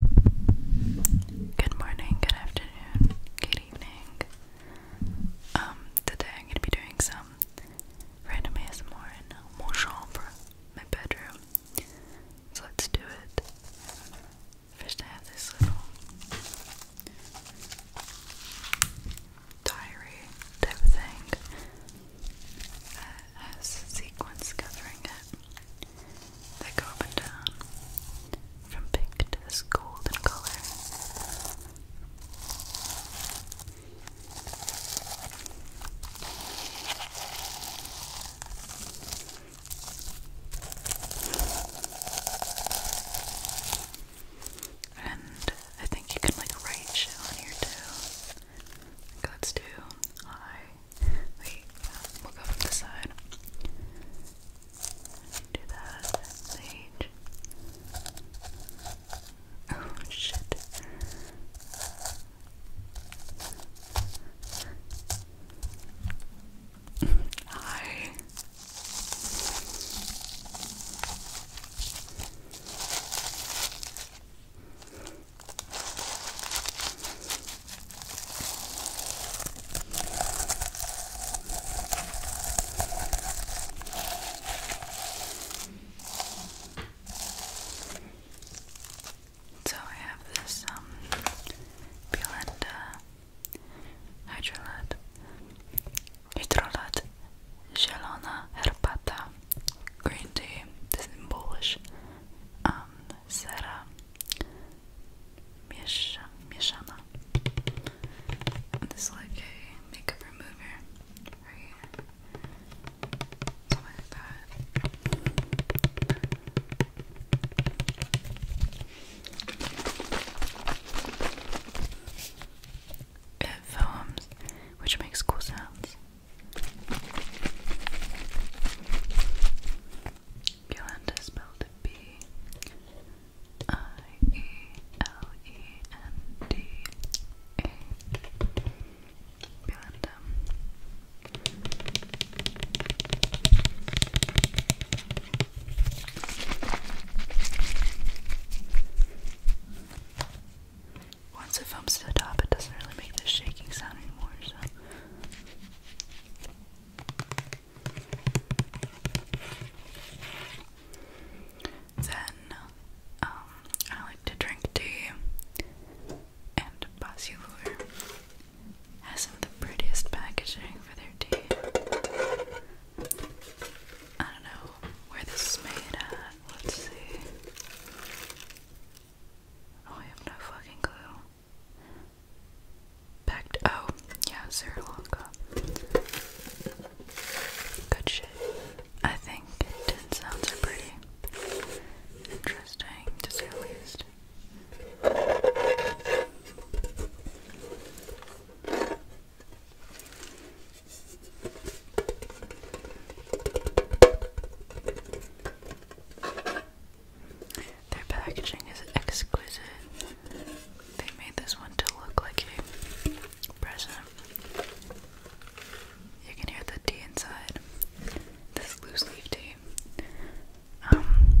Good morning, good afternoon, good evening. Um, today I'm gonna be doing some random ASMR in mon my bedroom. So let's do it. First I have this little diary type thing that has sequins covering it that go up and down from pink to this golden color. And I think you can like write shit on here too. let's do I Wait, we'll go from the side. Do that. Oh shit. Hi. So I have this um Hydrolat Hydrolat Zielona Herbata Green Tea, this is in Polish um, Miesha, Mieshana. This is like a makeup remover right here. Something like that. It foams, which makes cool sounds. Yolanda spelled B I E L E N D A. Once it films to the top, it doesn't really make this shaking sound anymore, so then, um, I like to drink tea, and Basilur has some of the prettiest packaging for their tea. I don't know where this is made at. Let's see. Oh, I have no fucking clue. Back oh, yeah, Sri Good shit. I think tin sounds are pretty interesting, to say the least. Their packaging is exquisite. They made this one to look like a present. You can hear the tea inside. This loose leaf tea. Um,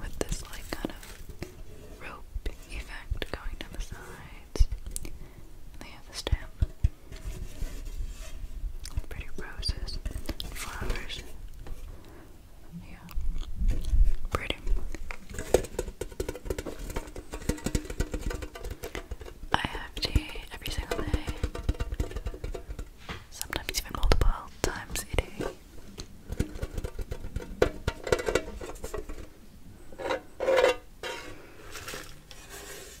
with this like kind of rope effect going down the sides. They have the stamp. Pretty roses, flowers. Yeah, pretty. I have every single day, sometimes even multiple times a day. Basilar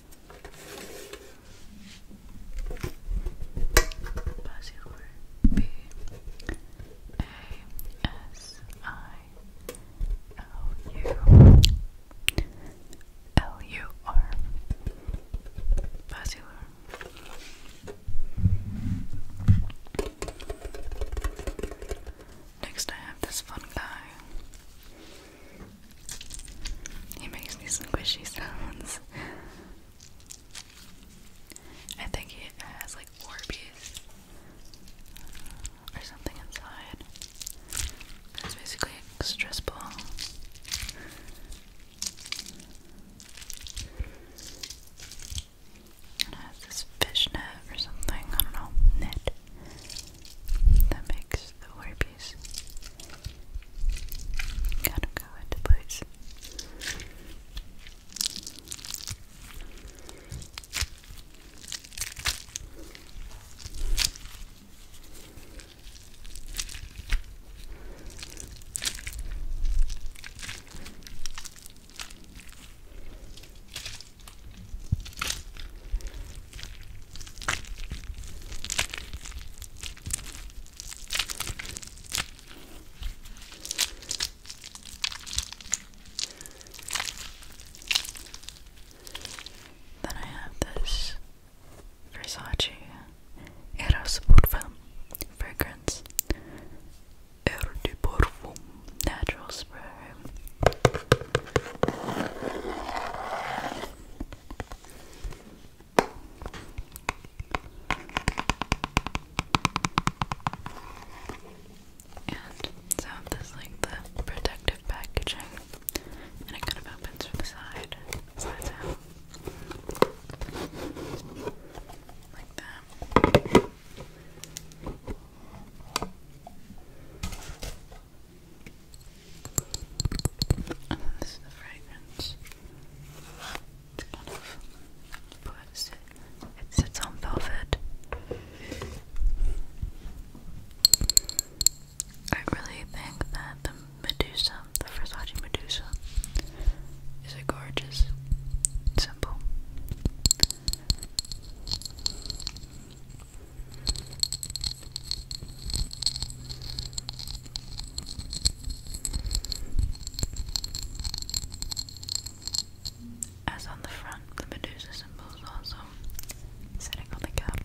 B A S I L U L U R Basilar Next I have this fun guy. He makes me some squishy sounds. I think he has like Orbeez or something inside. That's basically a stress ball. And it has this fishnet or something. I don't know. Net that makes the Orbeez kind of go into place. Then I have this Versace Eros fragrance. Air natural spray so this like the protective packaging and it kind of opens from the side. Like that. And then this is the fragrance. It's kind of puts it, it sits on velvet. I really think that the Medusa, the Versace Medusa, is a gorgeous symbol. As on the front, the Medusa symbol is also sitting on the cap.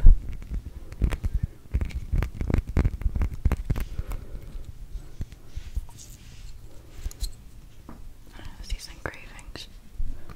I do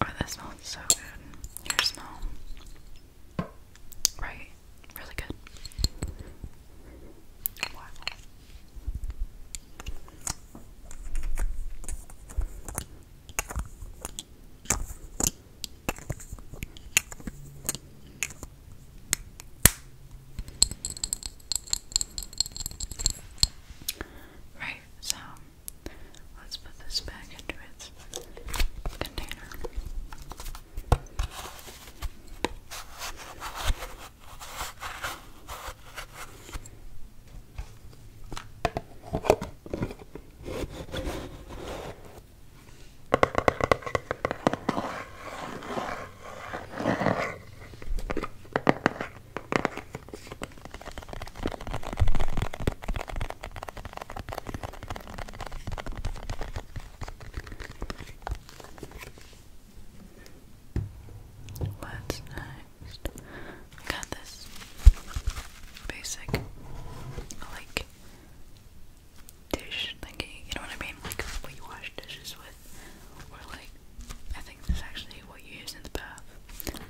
Oh, that smells so good. Your smell. Right. Really good. Wow. Right, so let's put this back into its container. What's next? got this basic, like dish thingy, you know what I mean? Like what wash dishes with, or like I think this actually what you use in the bath.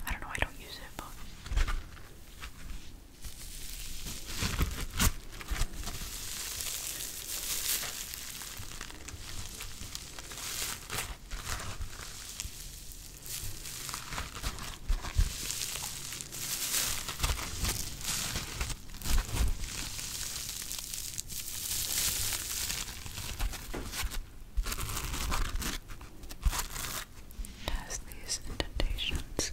I don't know, I don't use it, it has these indentations. It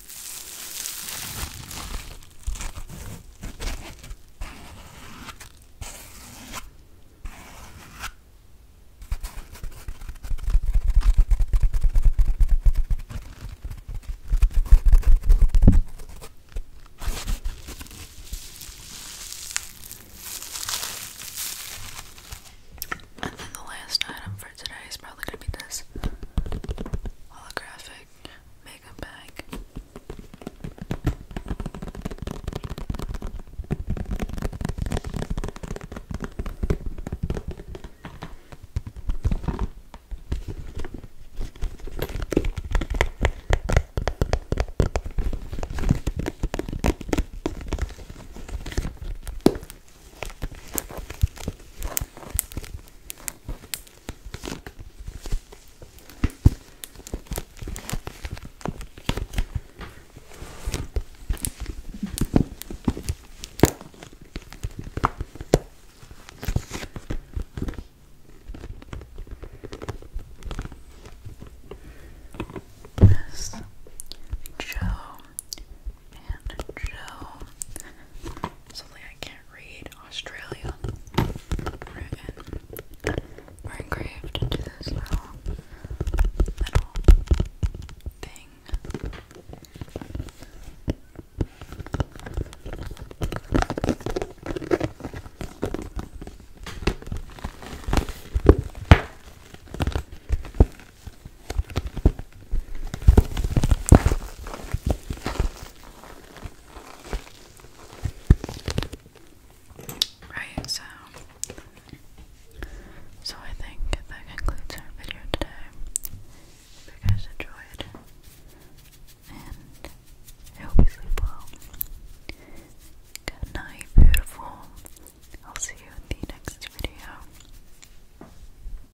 And then the last item for today is probably going to be this holographic makeup bag. This Joe and Joe. Something I can read Australia written or engraved into this little little thing. Right, so so I think that concludes our video today. If you guys enjoyed, and I hope you sleep well. Good night, beautiful. I'll see you in the next video.